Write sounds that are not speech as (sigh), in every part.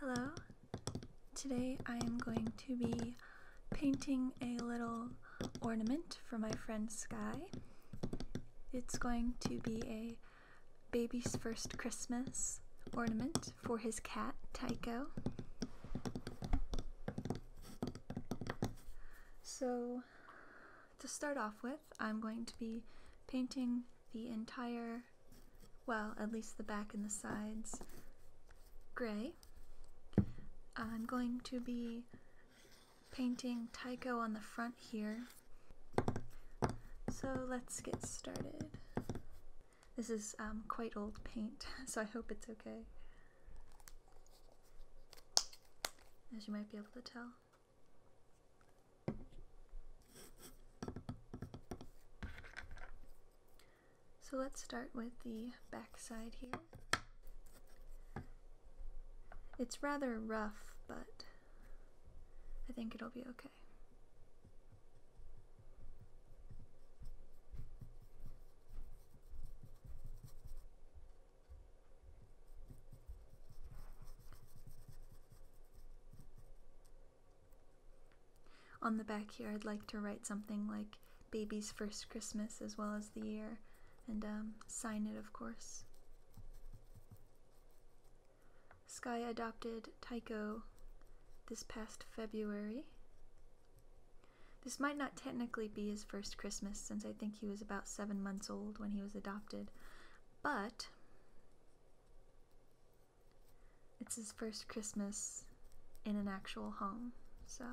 Hello, today I am going to be painting a little ornament for my friend Sky. It's going to be a baby's first Christmas ornament for his cat, Tycho. So, to start off with, I'm going to be painting the entire well, at least the back and the sides, gray. I'm going to be painting Tycho on the front here. So let's get started. This is um, quite old paint, (laughs) so I hope it's okay. As you might be able to tell. So let's start with the back side here. It's rather rough, but I think it'll be okay. On the back here, I'd like to write something like baby's first Christmas as well as the year and um, sign it, of course. Sky adopted Tycho this past February. This might not technically be his first Christmas since I think he was about seven months old when he was adopted, but it's his first Christmas in an actual home, so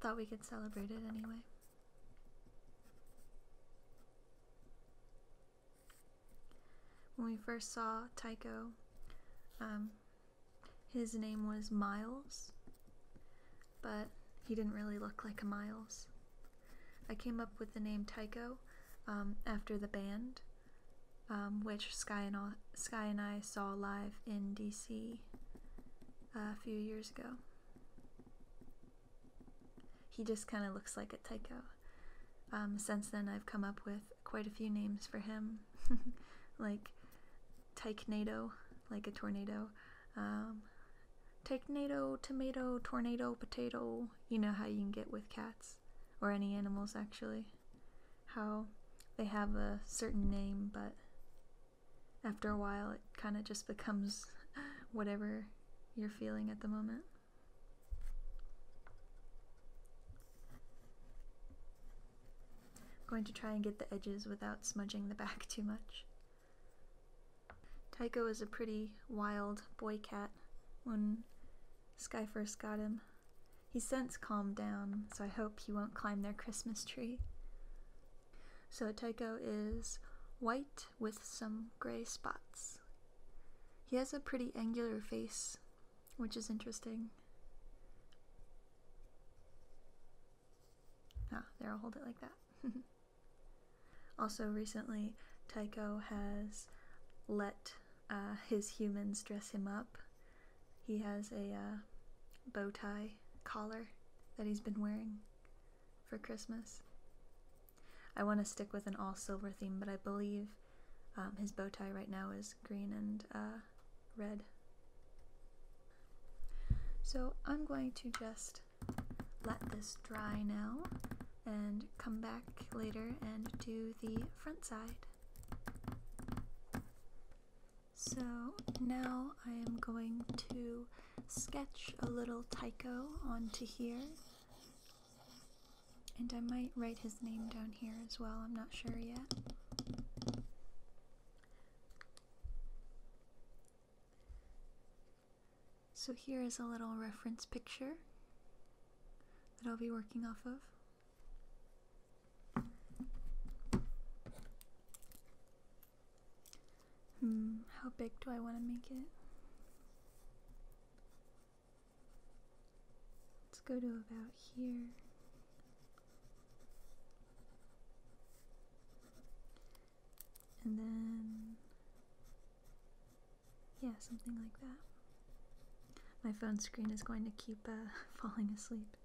thought we could celebrate it anyway. When we first saw Tycho, um, his name was Miles, but he didn't really look like a Miles. I came up with the name Tycho um, after the band, um, which Sky and, I saw live in DC uh, a few years ago. He just kind of looks like a Tycho. Um, since then, I've come up with quite a few names for him, (laughs) like Tychnado, like a tornado, um, Tychnado, tomato, tornado, potato, you know how you can get with cats or any animals actually, how they have a certain name, but after a while it kind of just becomes (laughs) whatever you're feeling at the moment. going to try and get the edges without smudging the back (laughs) too much. Tycho is a pretty wild boy cat when Sky first got him. he since calmed down, so I hope he won't climb their Christmas tree. So Tycho is white with some gray spots. He has a pretty angular face, which is interesting. Ah, there, I'll hold it like that. (laughs) Also, recently, Tycho has let uh, his humans dress him up. He has a uh, bow tie collar that he's been wearing for Christmas. I want to stick with an all silver theme, but I believe um, his bow tie right now is green and uh, red. So I'm going to just let this dry now and come back later and do the front side. So now I am going to sketch a little Tycho onto here. And I might write his name down here as well, I'm not sure yet. So here is a little reference picture that I'll be working off of. Hmm, how big do I want to make it? Let's go to about here. And then yeah, something like that. My phone screen is going to keep uh, (laughs) falling asleep.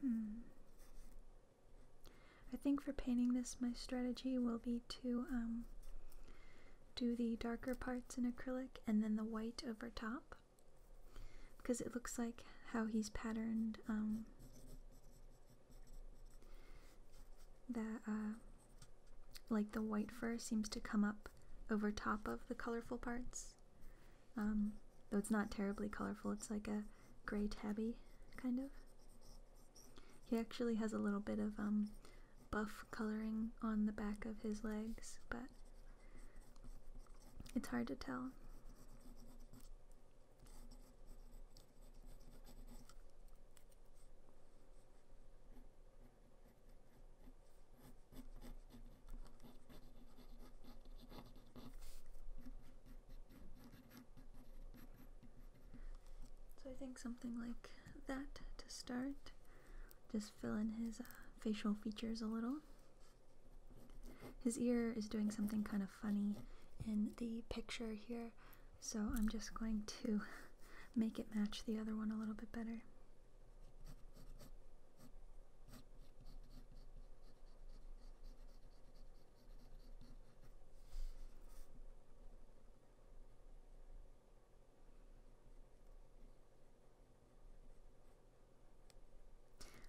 Hmm. I think for painting this, my strategy will be to um, do the darker parts in acrylic and then the white over top because it looks like how he's patterned um, that uh, like the white fur seems to come up over top of the colorful parts um, though it's not terribly colorful it's like a gray tabby kind of he actually has a little bit of um, buff coloring on the back of his legs but it's hard to tell. So I think something like that to start. Just fill in his uh, facial features a little. His ear is doing something kind of funny in the picture here, so I'm just going to make it match the other one a little bit better.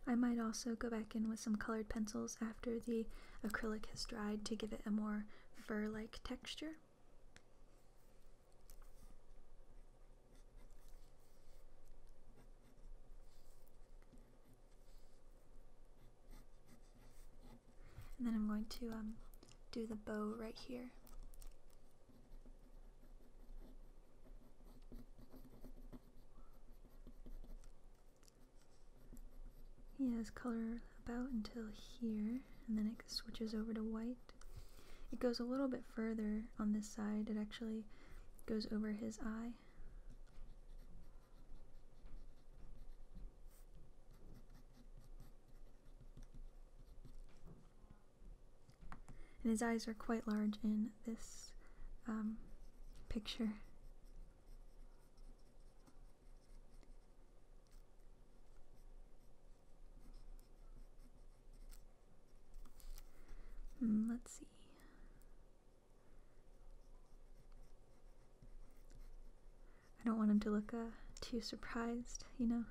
I might also go back in with some colored pencils after the acrylic has dried to give it a more fur like texture. And then I'm going to um, do the bow right here. He has color about until here, and then it switches over to white. It goes a little bit further on this side, it actually goes over his eye. And his eyes are quite large in this um, picture. Hmm, let's see. I don't want him to look uh, too surprised, you know?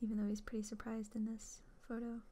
Even though he's pretty surprised in this photo.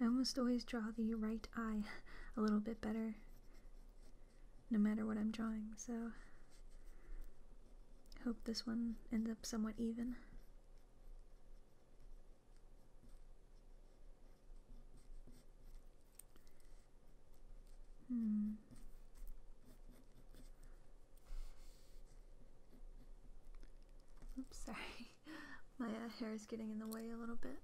I almost always draw the right eye a little bit better no matter what I'm drawing, so hope this one ends up somewhat even. Hmm. Oops, sorry. (laughs) My uh, hair is getting in the way a little bit.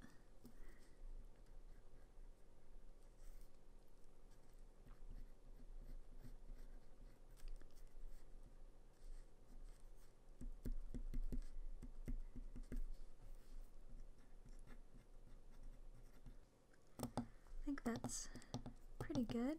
I think that's pretty good.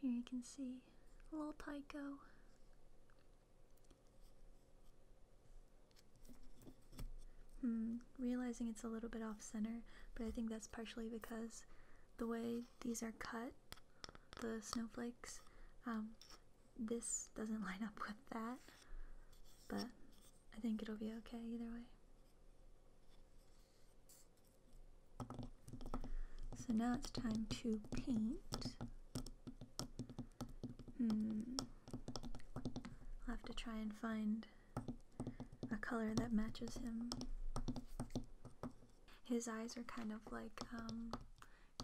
Here you can see little Tycho. Hmm, realizing it's a little bit off center, but I think that's partially because the way these are cut, the snowflakes. Um, this doesn't (laughs) line up with that, but I think it'll be okay either way. So now it's time to paint. Hmm. I'll have to try and find a color that matches him. His eyes are kind of like um,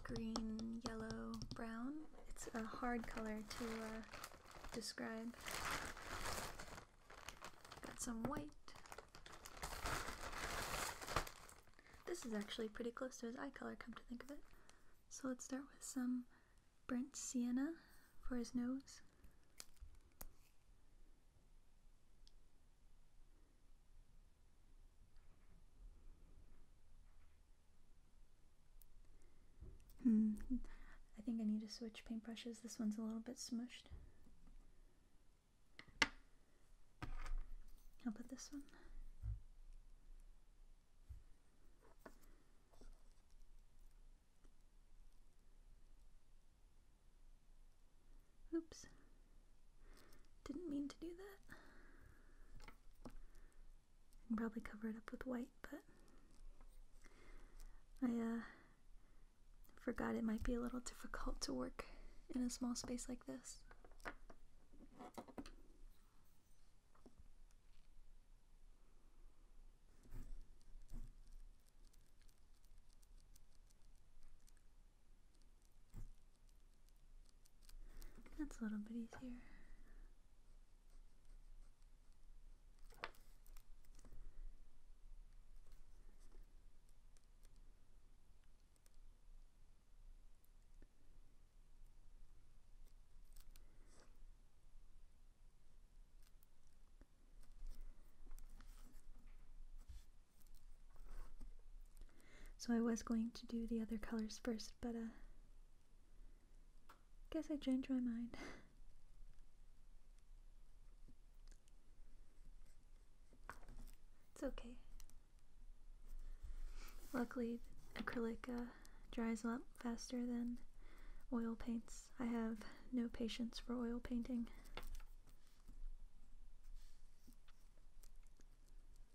green, yellow, brown. It's a hard color to uh, describe. Got some white. This is actually pretty close to his eye color, come to think of it. So let's start with some burnt sienna for his nose. Hmm. I think I need to switch paintbrushes. This one's a little bit smushed. How about this one? Oops. Didn't mean to do that. I can probably cover it up with white, but I uh, forgot it might be a little difficult to work in a small space like this. That's a little bit easier. So I was going to do the other colors first, but uh guess I changed my mind. (laughs) it's okay. Luckily, acrylic uh, dries a lot faster than oil paints. I have no patience for oil painting.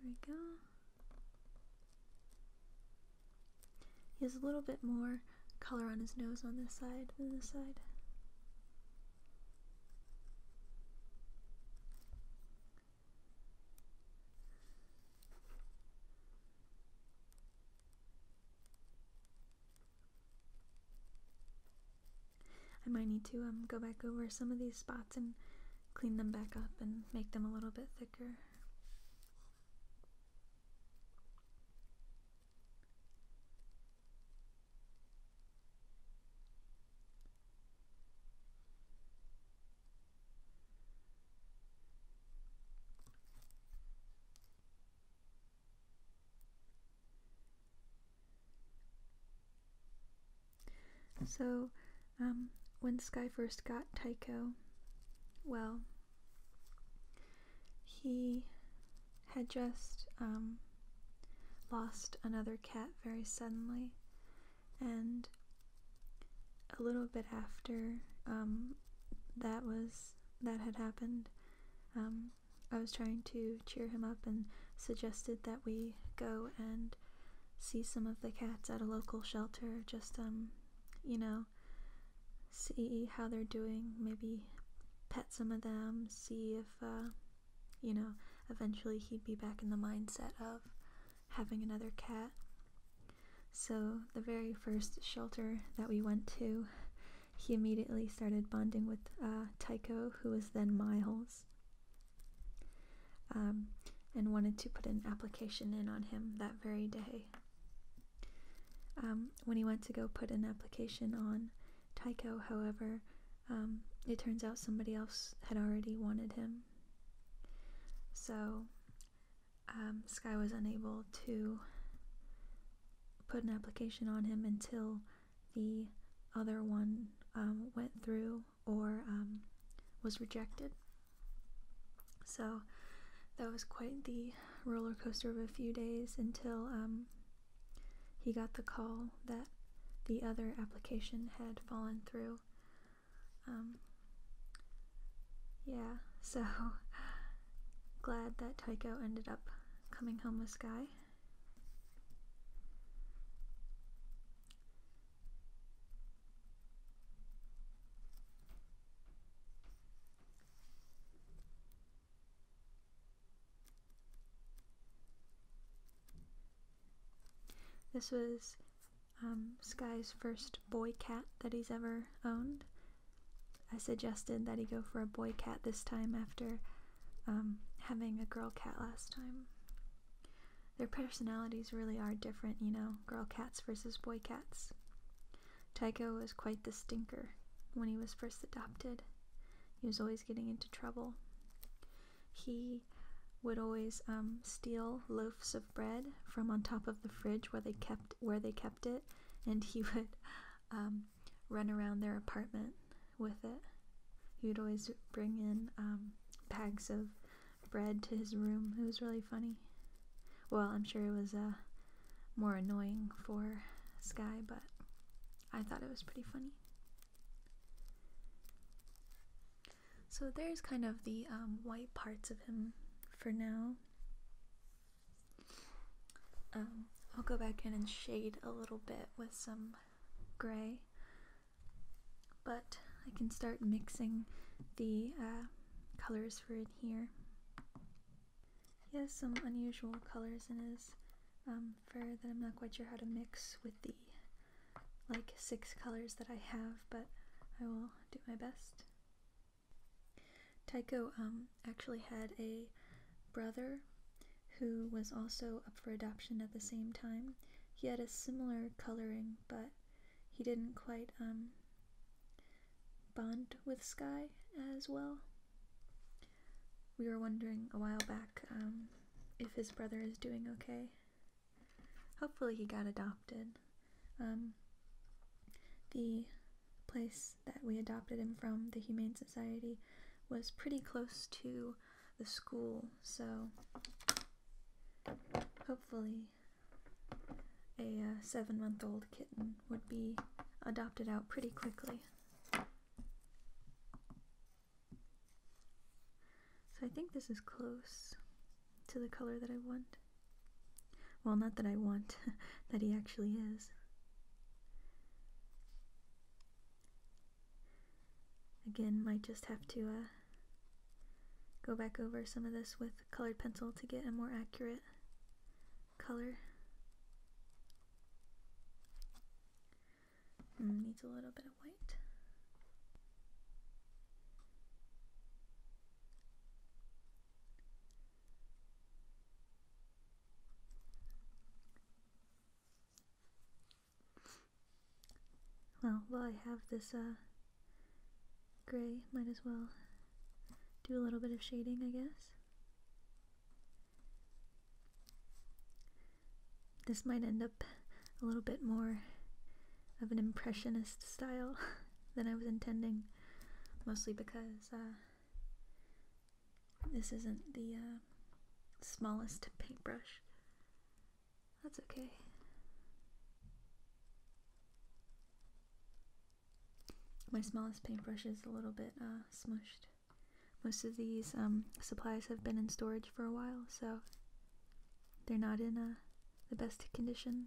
There we go. He has a little bit more color on his nose on this side than this side. I might need to um go back over some of these spots and clean them back up and make them a little bit thicker. So, um, when Sky first got Tycho, well, he had just um, lost another cat very suddenly, and a little bit after um, that was that had happened, I was trying to cheer him up and suggested that we go and see some of the cats at a local shelter, just, um, you know, see how they're doing, maybe pet some of them, see if, uh, you know, eventually he'd be back in the mindset of having another cat. So, the very first shelter that we went to, he immediately started bonding with uh, Tycho, who was then Miles. Um, and wanted to put an application in on him that very day. Um, when he went to go put an application on Tycho, however, um, it turns out somebody else had already wanted him. So Sky was unable to put an application on him until the other one um, went through or um, was rejected. So that was quite the roller coaster of a few days until um, he got the call that the other application had fallen through. yeah, so (laughs) glad that Taiko ended up coming home with Sky. This was um, Sky's first boy cat that he's ever owned. I suggested that he go for a boy cat this time after um, having a girl cat last time. Their personalities really are different, you know, girl cats versus boy cats. Tycho was quite the stinker when he was first adopted. He was always getting into trouble. He would always um, steal loaves of bread from on top of the fridge where they kept where they kept it, and he (laughs) would um, run around their apartment with it He'd always bring in um, bags of bread to his room. It was really funny. Well, I'm sure it was uh, more annoying for Sky, but I thought it was pretty funny. So there's kind of the um, white parts of him for now. Um, I'll go back in and shade a little bit with some gray. But I can start mixing the uh, colors for it here. He has some unusual colors in his um, fur that I'm not quite sure how to mix with the like six colors that I have, but I will do my best. Tycho um, actually had a brother who was also up for adoption at the same time, he had a similar coloring, but he didn't quite um, bond with Sky as well. We were wondering a while back um, if his brother is doing okay. Hopefully, he got adopted. Um, the place that we adopted him from, the Humane Society, was pretty close to the school. So hopefully, a uh, seven month old kitten would be adopted out pretty quickly. So I think this is close to the color that I want. Well, not that I want, (laughs) that he actually is. Again, might just have to uh, go back over some of this with colored pencil to get a more accurate color. Mm, needs a little bit of white. Well, while I have this uh, gray, might as well do a little bit of shading, I guess. This might end up a little bit more of an impressionist style (laughs) than I was intending, mostly because uh, this isn't the uh, smallest paintbrush. That's okay. My smallest paintbrush is a little bit uh, smushed. Most of these um, supplies have been in storage for a while, so they're not in uh, the best condition.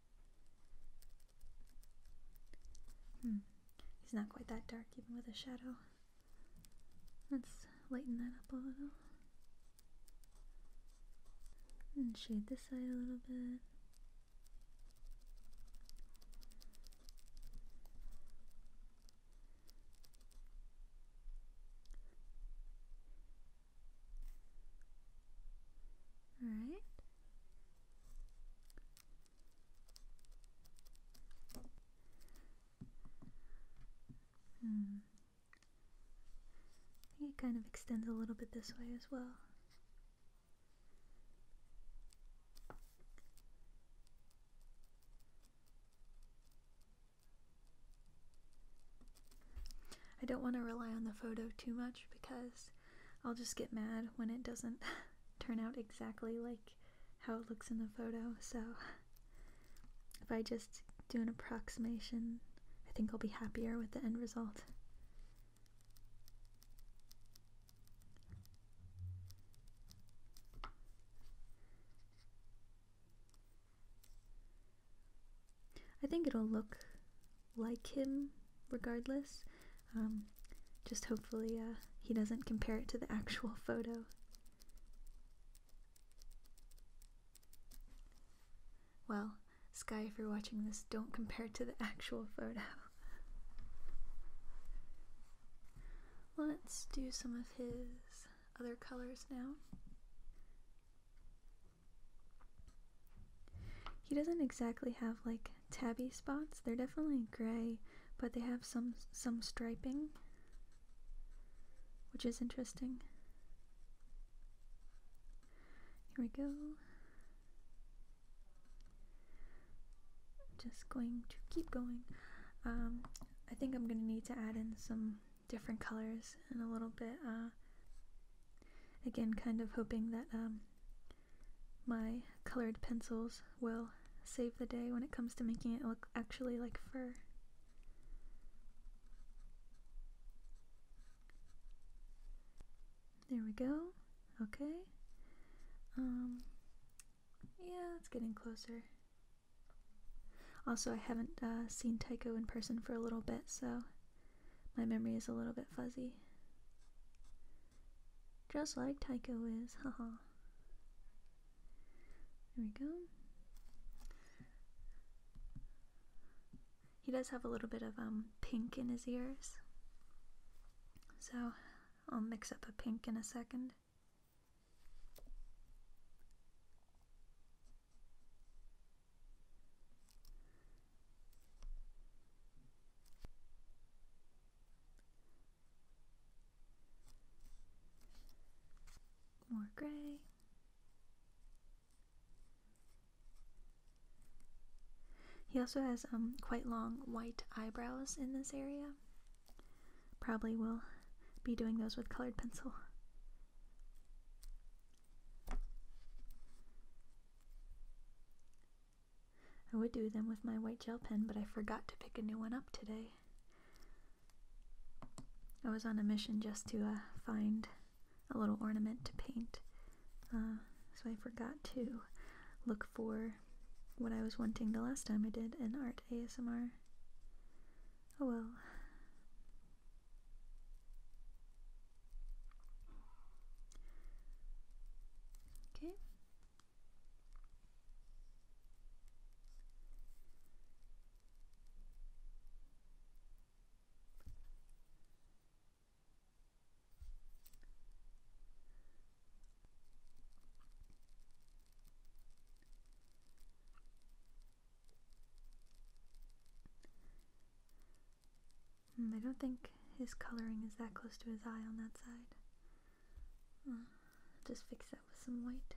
Hmm. He's not quite that dark, even with a shadow. Let's lighten that up a little. And shade this side a little bit. Alright. Hmm. it kind of extends a little bit this way as well. I don't want to rely on the photo too much because I'll just get mad when it doesn't (laughs) turn out exactly like how it looks in the photo, so if I just do an approximation, I think I'll be happier with the end result. I think it'll look like him regardless. Um, just hopefully uh, he doesn't compare it to the actual (laughs) photo. Well, Sky, if you're watching this, don't compare it to the actual photo. Let's do some of his other colors now. He doesn't exactly have like tabby spots. They're definitely gray, but they have some some striping, which is interesting. Here we go. Just going to keep going. Um, I think I'm gonna need to add in some different colors and a little bit. Uh, again, kind of hoping that um, my colored pencils will save the day when it comes to making it look actually like fur. There we go. Okay. Um, yeah, it's getting closer. Also, I haven't uh, seen Taiko in person for a little bit, so my memory is a little bit fuzzy. Just like Tycho is, haha. There we go. He does have a little bit of um pink in his ears. So I'll mix up a pink in a second. More gray. He also has um, quite long white eyebrows in this area. Probably will be doing those with colored pencil. I would do them with my white gel pen, but I forgot to pick a new one up today. I was on a mission just to uh, find a little ornament to paint, uh, so I forgot to look for what I was wanting the last time I did an art ASMR. Oh well. Okay, Hmm, I don't think his coloring is that close to his eye on that side just fix that with some white.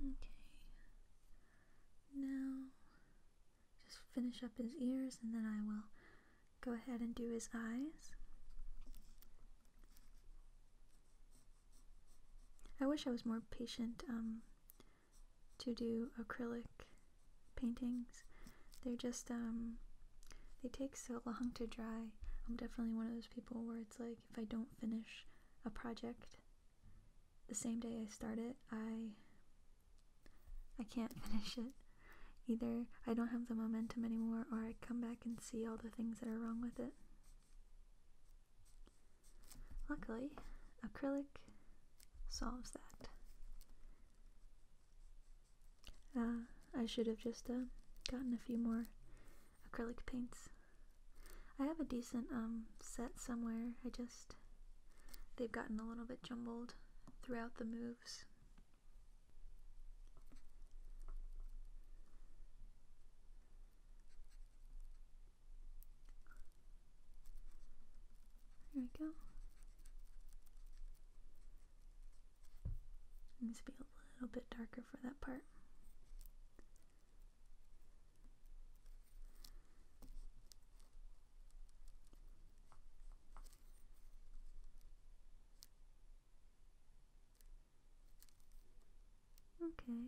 Okay. Now, just finish up his ears and then I will go ahead and do his eyes. I wish I was more patient um, to do acrylic paintings. They're just, um, they take so long to dry. I'm definitely one of those people where it's like if I don't finish a project the same day I start it, I I can't (laughs) finish it. Either I don't have the momentum anymore or I come back and see all the things that are wrong with it. Luckily, acrylic solves that. Uh, I should have just uh, gotten a few more acrylic paints. I have a decent um set somewhere. I just they've gotten a little bit jumbled throughout the moves. There we go. needs to be a little bit darker for that part. Okay.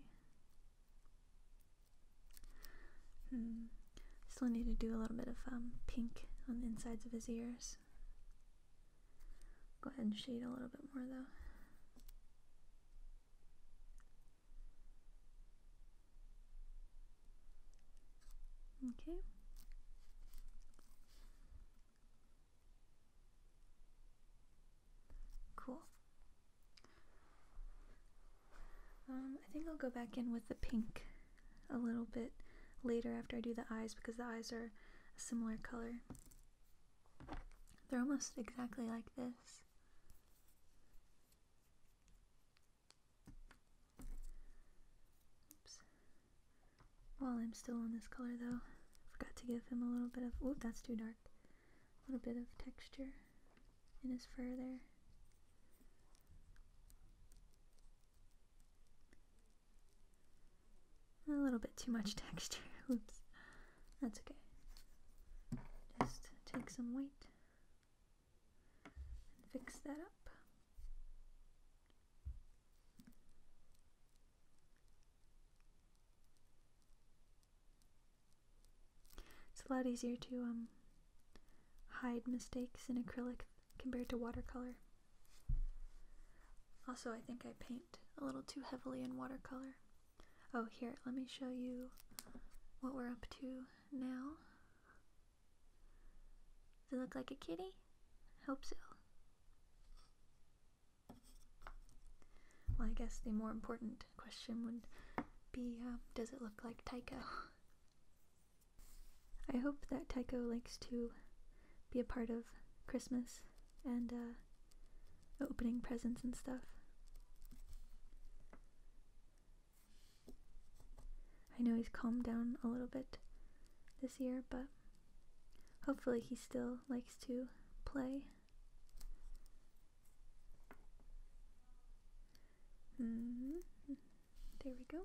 Hmm. Still need to do a little bit of um, pink on the insides of his ears. Go ahead and shade a little bit more though. Okay. Cool. Um, I think I'll go back in with the pink a little bit later after I do the eyes because the eyes are a similar color. They're almost exactly like this. Oops. While I'm still on this color though, forgot to give him a little bit of, oh that's too dark, a little bit of texture in his fur there. A little bit too much (laughs) texture, oops. That's okay. Just take some weight and fix that up. It's a lot easier to um hide mistakes in acrylic compared to watercolor. Also, I think I paint a little too heavily in watercolor. Oh, here, let me show you what we're up to now. Does it look like a kitty? Hope so. Well, I guess the more important question would be um, does it look like Tycho? (laughs) I hope that Tycho likes to be a part of Christmas and uh, opening presents and stuff. I know he's calmed down a little bit this year, but hopefully he still likes to play. Mm-hmm. There we go.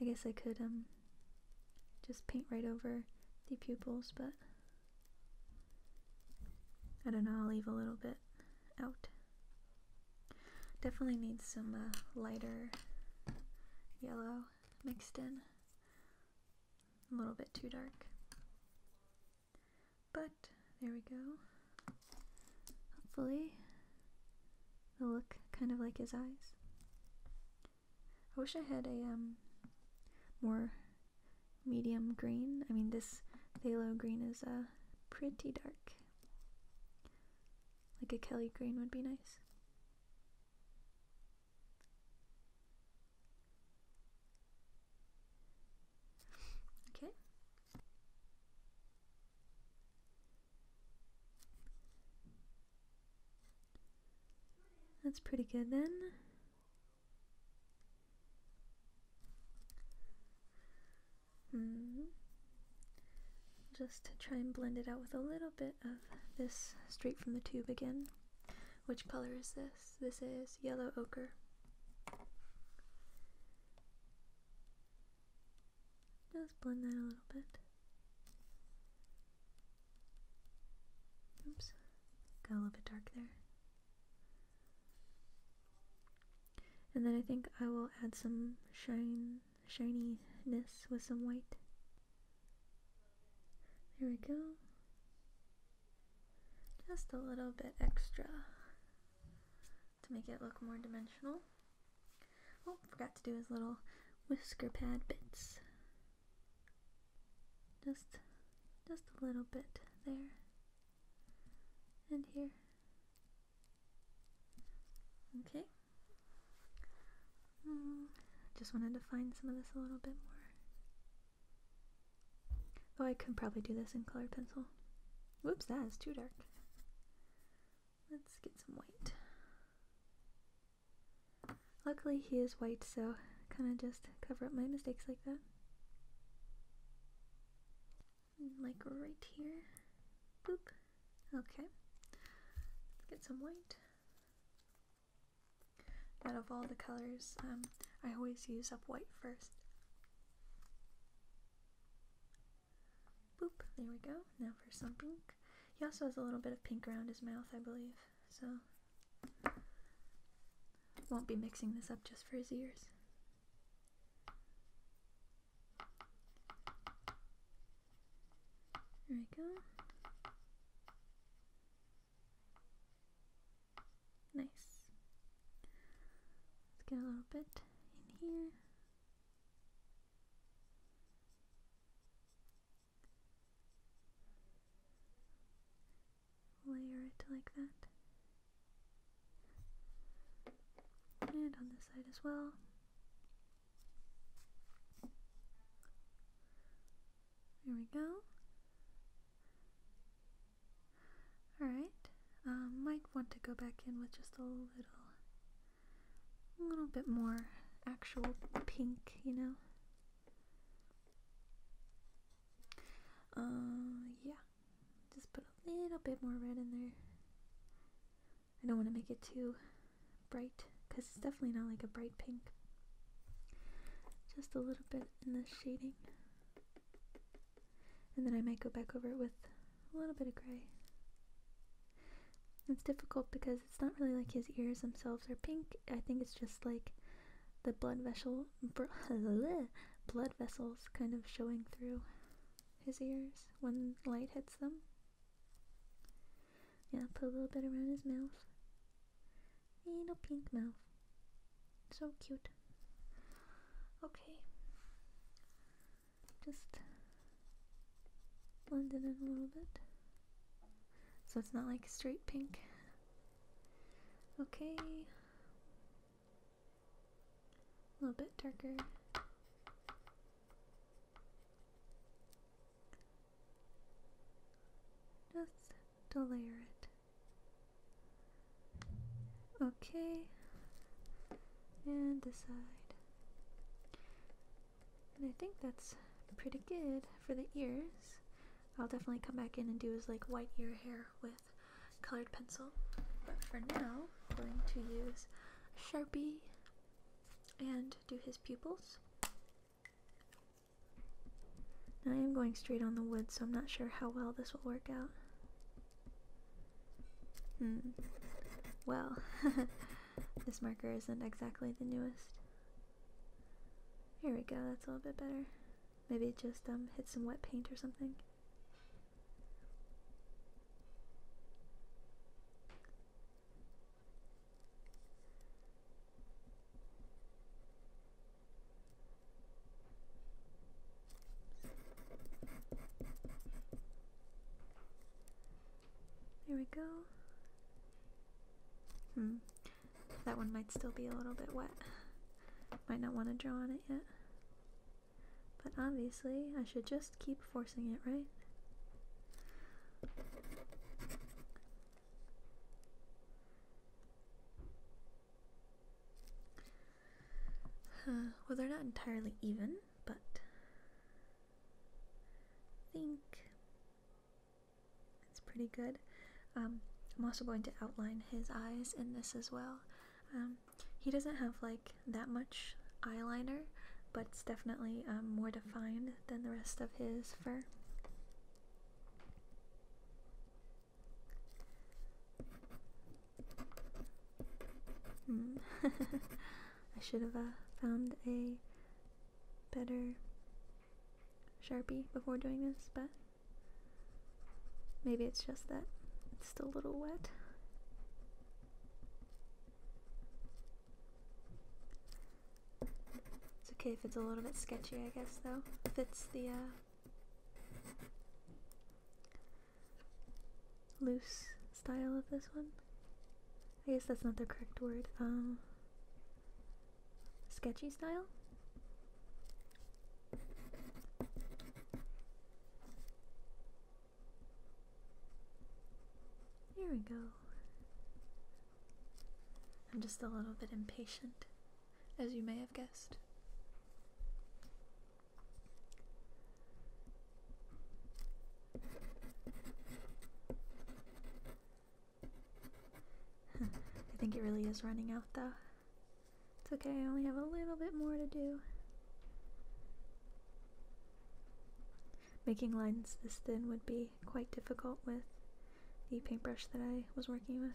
I guess I could um just paint right over the pupils, but I don't know, I'll leave a little bit out. Definitely need some uh, lighter yellow mixed in. A little bit too dark. But there we go. Hopefully, they'll look kind of like his eyes. I wish I had a um, more medium green. I mean, this thalo green is uh, pretty dark. Like a Kelly green would be nice. Okay. That's pretty good then. Mm-hmm. Just to try and blend it out with a little bit of this straight from the tube again. Which color is this? This is yellow ochre. Just blend that a little bit. Oops, got a little bit dark there. And then I think I will add some shine shininess with some white. There we go. Just a little bit extra to make it look more dimensional. Oh, forgot to do his little whisker pad bits. Just just a little bit there and here. Okay. Mm, just wanted to find some of this a little bit more. Oh, I could probably do this in colored pencil. Whoops, that is too dark. Let's get some white. Luckily, he is white, so kind of just cover up my mistakes like that. Like right here. Boop. Okay. get some white. Out of all the colors, um, I always use up white first. Boop. There we go. Now for some pink. He also has a little bit of pink around his mouth, I believe. So won't be mixing this up just for his ears. There we go. Nice. Let's get a little bit in here layer it like that. And on this side as well. There we go. Alright, um, might want to go back in with just a little, a little bit more actual pink, you know? Uh, yeah. Just put a little bit more red in there. I don't want to make it too bright because it's definitely not like a bright pink. Just a little bit in the shading. And then I might go back over it with a little bit of gray. It's difficult because it's not really like his ears themselves are pink. I think it's just like the blood vessels. (laughs) blood vessels kind of showing through his ears when light hits them. Yeah, put a little bit around his mouth. Little pink mouth. So cute. Okay. Just blend it in a little bit. So it's not like straight pink. Okay a little bit darker. Just to layer it. Okay, and decide. And I think that's pretty good for the ears. I'll definitely come back in and do his like white ear hair with colored pencil, but for now I'm going to use a Sharpie and do his pupils. I am going straight on the wood, so I'm not sure how well this will work out. Hmm. Well, (laughs) this marker isn't exactly the newest. Here we go, that's a little bit better. Maybe it just um, hit some wet paint or something. There we go. Hmm. That one might still be a little bit wet. Might not want to draw on it yet. But obviously, I should just keep forcing it, right? (sighs) well, they're not entirely even, but I think it's pretty good. Um, I'm also going to outline his eyes in this as well. Um, he doesn't have like that much eyeliner, but it's definitely um, more defined than the rest of his fur. Hmm. (laughs) I should have uh, found a better sharpie before doing this, but Maybe it's just that it's still a little wet. It's okay if it's a little bit sketchy, I guess, though. Fits the uh, loose style of this one. I guess that's not the correct word. Um, sketchy style? Here we go. I'm just a little bit impatient, as you may have guessed. (laughs) I think it really is running out though. It's okay, I only have a little bit more to do. Making lines this thin would be quite difficult with the paintbrush that I was working with.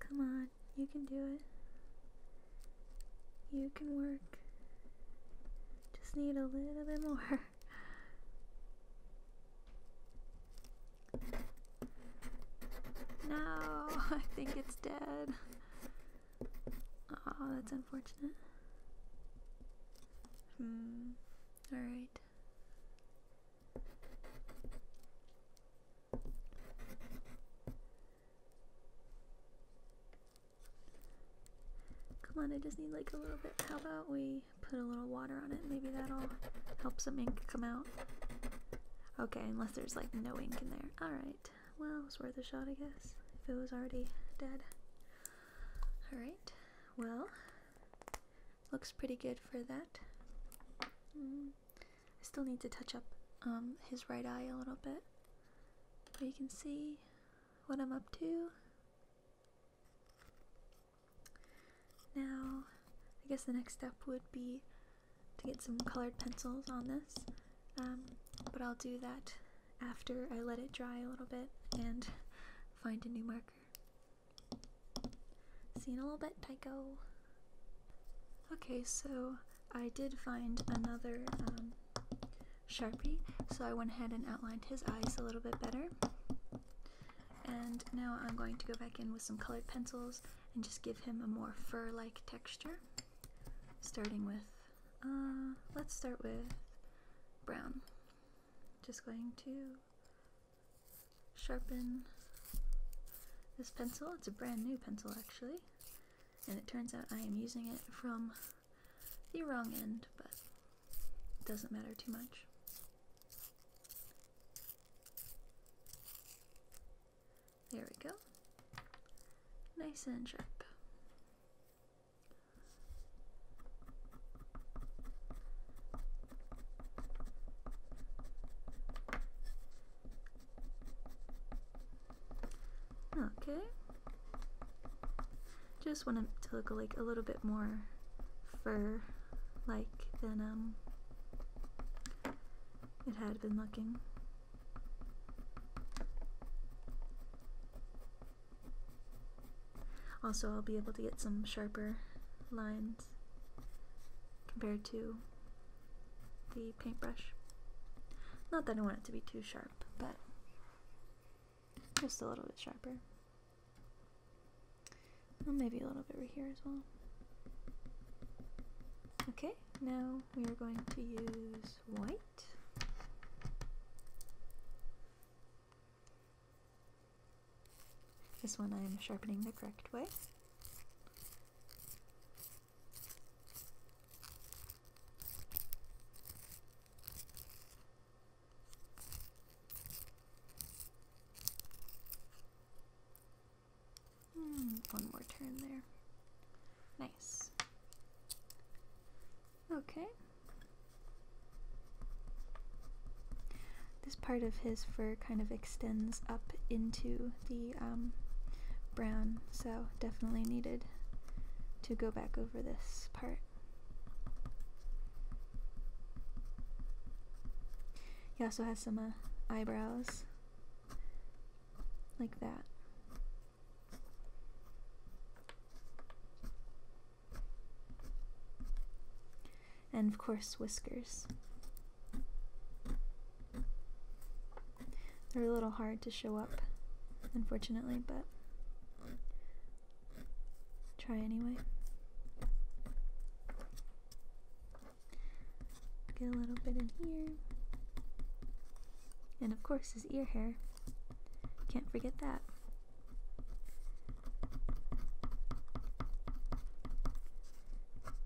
Come on, you can do it. You can work. Just need a little bit more. No, I think it's dead. Oh, that's unfortunate. Hmm. Alright. Come on, I just need like a little bit. How about we put a little water on it? Maybe that'll help some ink come out. Okay, unless there's like no ink in there. Alright, well, it's worth a shot, I guess, if it was already dead. Alright, well, looks pretty good for that. Mm. I still need to touch up um, his right eye a little bit, but you can see what I'm up to. Now, I guess the next step would be to get some colored pencils on this, um, but I'll do that after I let it dry a little bit and find a new marker. See in a little bit, Tycho. Okay, so I did find another um, Sharpie, so I went ahead and outlined his eyes a little bit better. And now I'm going to go back in with some colored pencils and just give him a more fur like texture. Starting with, uh, let's start with brown. Just going to sharpen this pencil. It's a brand new pencil, actually, and it turns out I am using it from the wrong end, but it doesn't matter too much. There we go. Nice and sharp. Okay. Just want it to look like a little bit more fur like than um it had been looking. Also I'll be able to get some sharper lines compared to the paintbrush. Not that I want it to be too sharp, but just a little bit sharper. And maybe a little bit over here as well. Okay, now we are going to use white. This one I'm sharpening the correct way. Hmm, one more turn there. Nice. Okay this part of his fur kind of extends up into the um, brown, so definitely needed to go back over this part. He also has some uh, eyebrows like that and of course whiskers. They're a little hard to show up, unfortunately, but try anyway. Get a little bit in here. And of course, his ear hair. Can't forget that.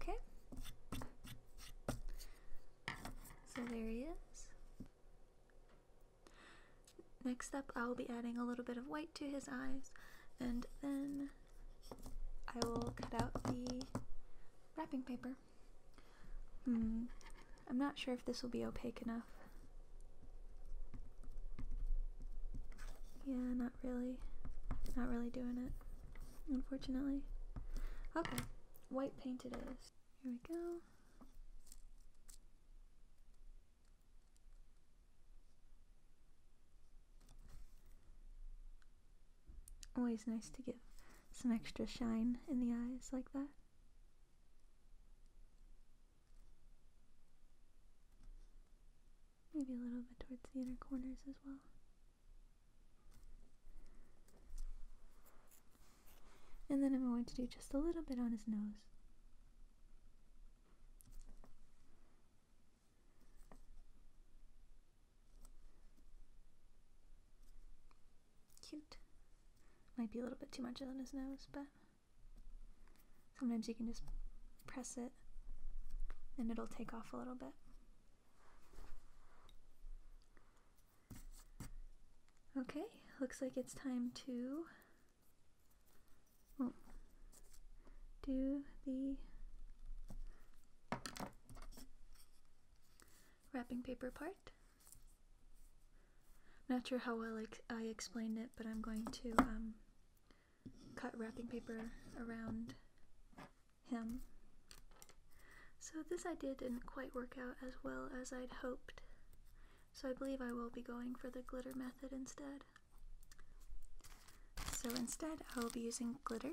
Okay. So there he is. Next up, I will be adding a little bit of white to his eyes, and then I will cut out the wrapping paper. Hmm. I'm not sure if this will be opaque enough. Yeah, not really. Not really doing it, unfortunately. Okay, white paint it is. Here we go. Always nice to give some extra shine in the eyes like that. Maybe a little bit towards the inner corners as well. And then I'm going to do just a little bit on his nose. Cute. Might be a little bit too much on his nose, but sometimes you can just press it and it'll take off a little bit. Okay, looks like it's time to oh, do the wrapping paper part. I'm not sure how well I, I explained it, but I'm going to um, cut wrapping paper around him. So this idea didn't quite work out as well as I'd hoped, so I believe I will be going for the glitter method instead. So instead I will be using glitter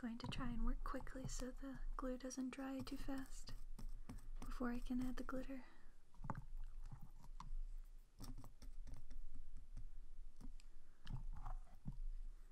Going to try and work quickly so the glue doesn't dry too fast before I can add the glitter.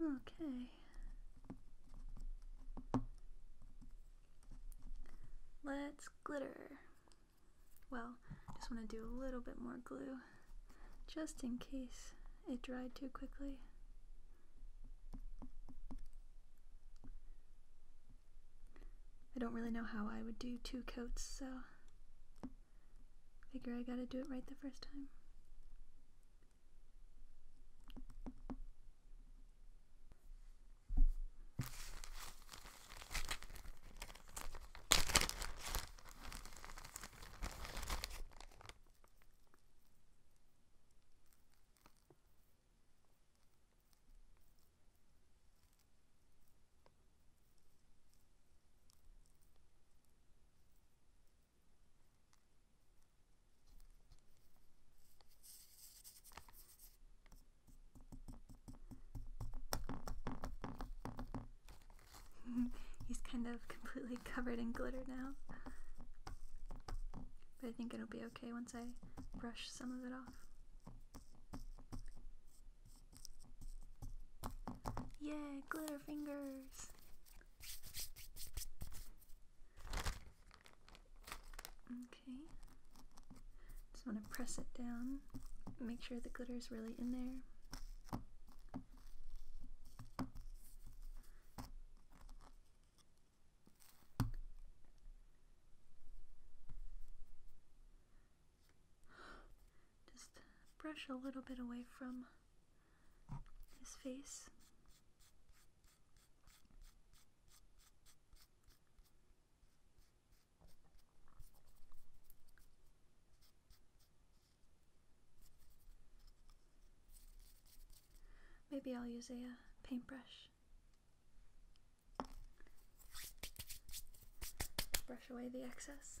Okay. Let's glitter. Well, just want to do a little bit more glue just in case it dried too quickly. I don't really know how I would do two coats, so Figure I gotta do it right the first time. (laughs) He's kind of completely (laughs) covered in glitter now. But I think it'll be okay once I brush some of it off. Yeah, glitter fingers! Okay. Just want to press it down. Make sure the glitter is really in there. (gasps) Just brush a little bit away from his face. Maybe I'll use a uh, paintbrush. Brush away the excess.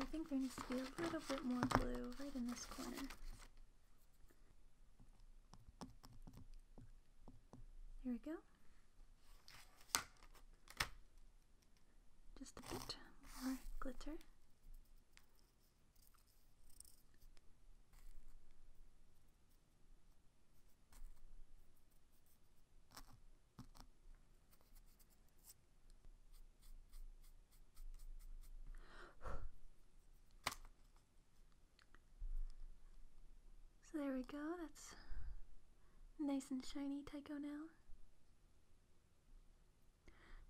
I think there needs to be a little bit more blue right in this corner. Here we go. Just a bit more glitter. So there we go, that's nice and shiny Tycho now.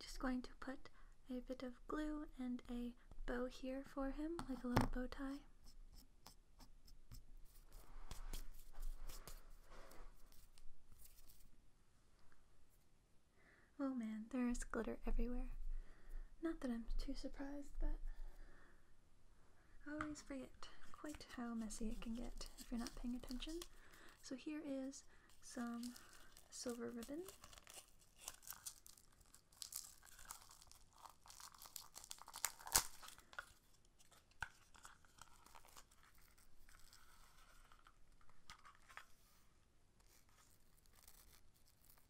Just going to put a bit of glue and a bow here for him, like a little bow tie. Oh man, there is glitter everywhere. Not that I'm too surprised, but I always forget quite how messy it can get if you're not paying attention. So here is some silver ribbon.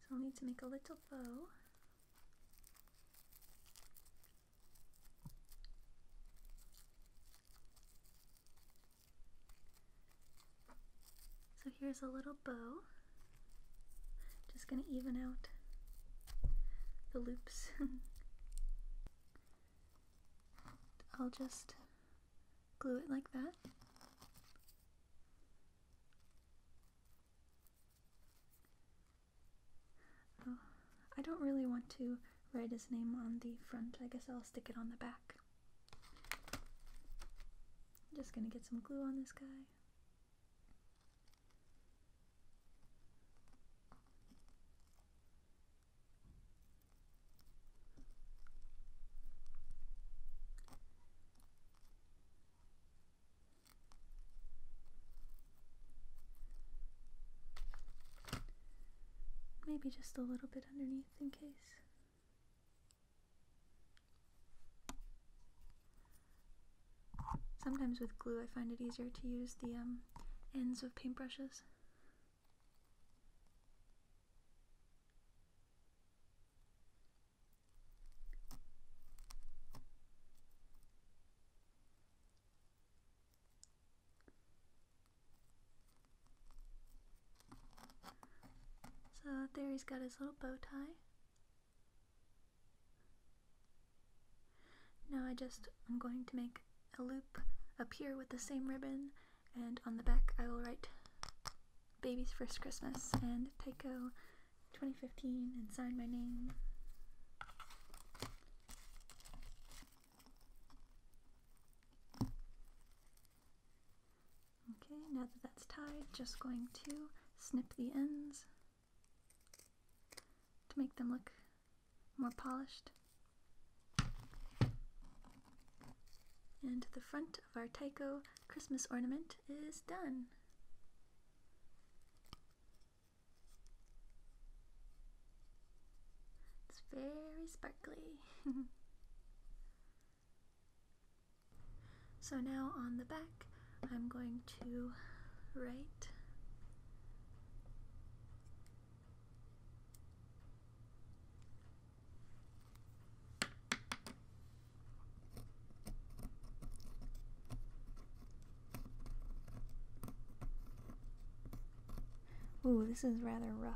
So I'll need to make a little bow. So here's a little bow. Just going to even out the loops. (laughs) I'll just Glue it like that. Oh, I don't really want to write his name on the front. I guess I'll stick it on the back. just gonna get some glue on this guy. Maybe just a little bit underneath in case. Sometimes with glue I find it easier to use the um, ends of paintbrushes so there he's got his little bow tie. Now I just I'm going to make a loop up here with the same ribbon and on the back I will write Baby's First Christmas and Tycho 2015 and sign my name. Okay, now that that's tied, just going to snip the ends to make them look more polished. And the front of our Tycho Christmas ornament is done. It's very sparkly. (laughs) so now on the back, I'm going to write. Ooh, this is rather rough.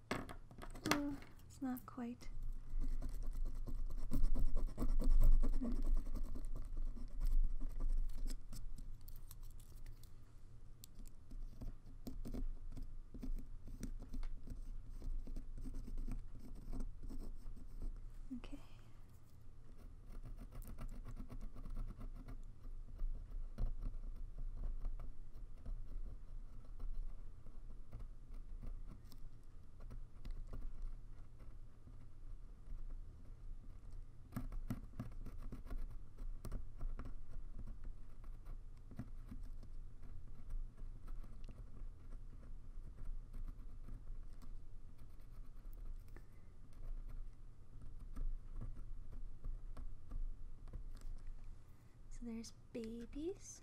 it's not quite. Okay. So there's babies.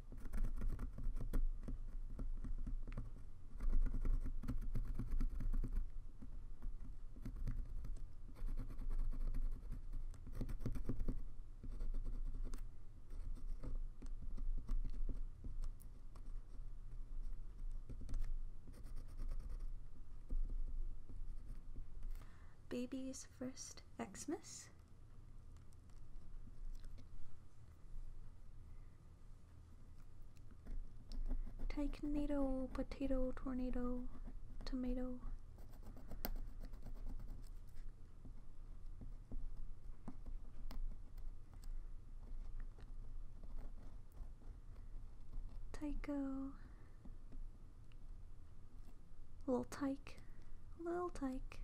Baby's first Xmas Takenado, potato, tornado, tomato. Tycho Little tyke. Little tyke.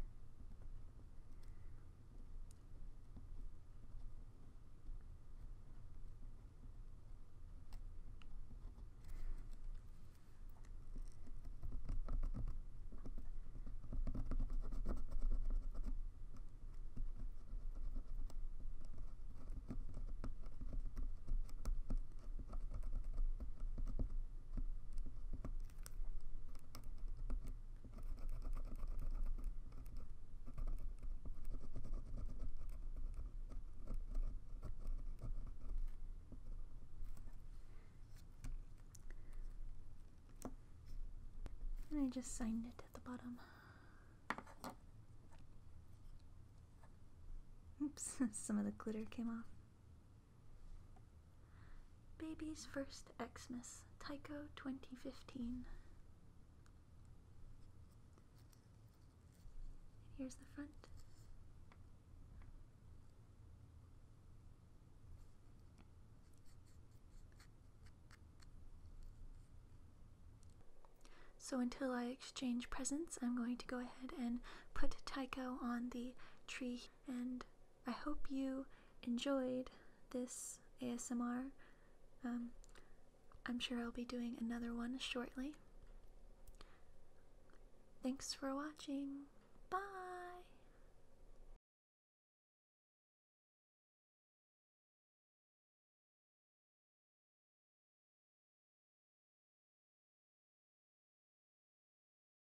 And I just signed it at the bottom. Oops, (laughs) some of the glitter came off. Baby's First Xmas, Tycho 2015. Here's the front. So until I exchange presents, I'm going to go ahead and put Tycho on the tree and I hope you enjoyed this ASMR. Um, I'm sure I'll be doing another one shortly. Thanks for watching. Bye!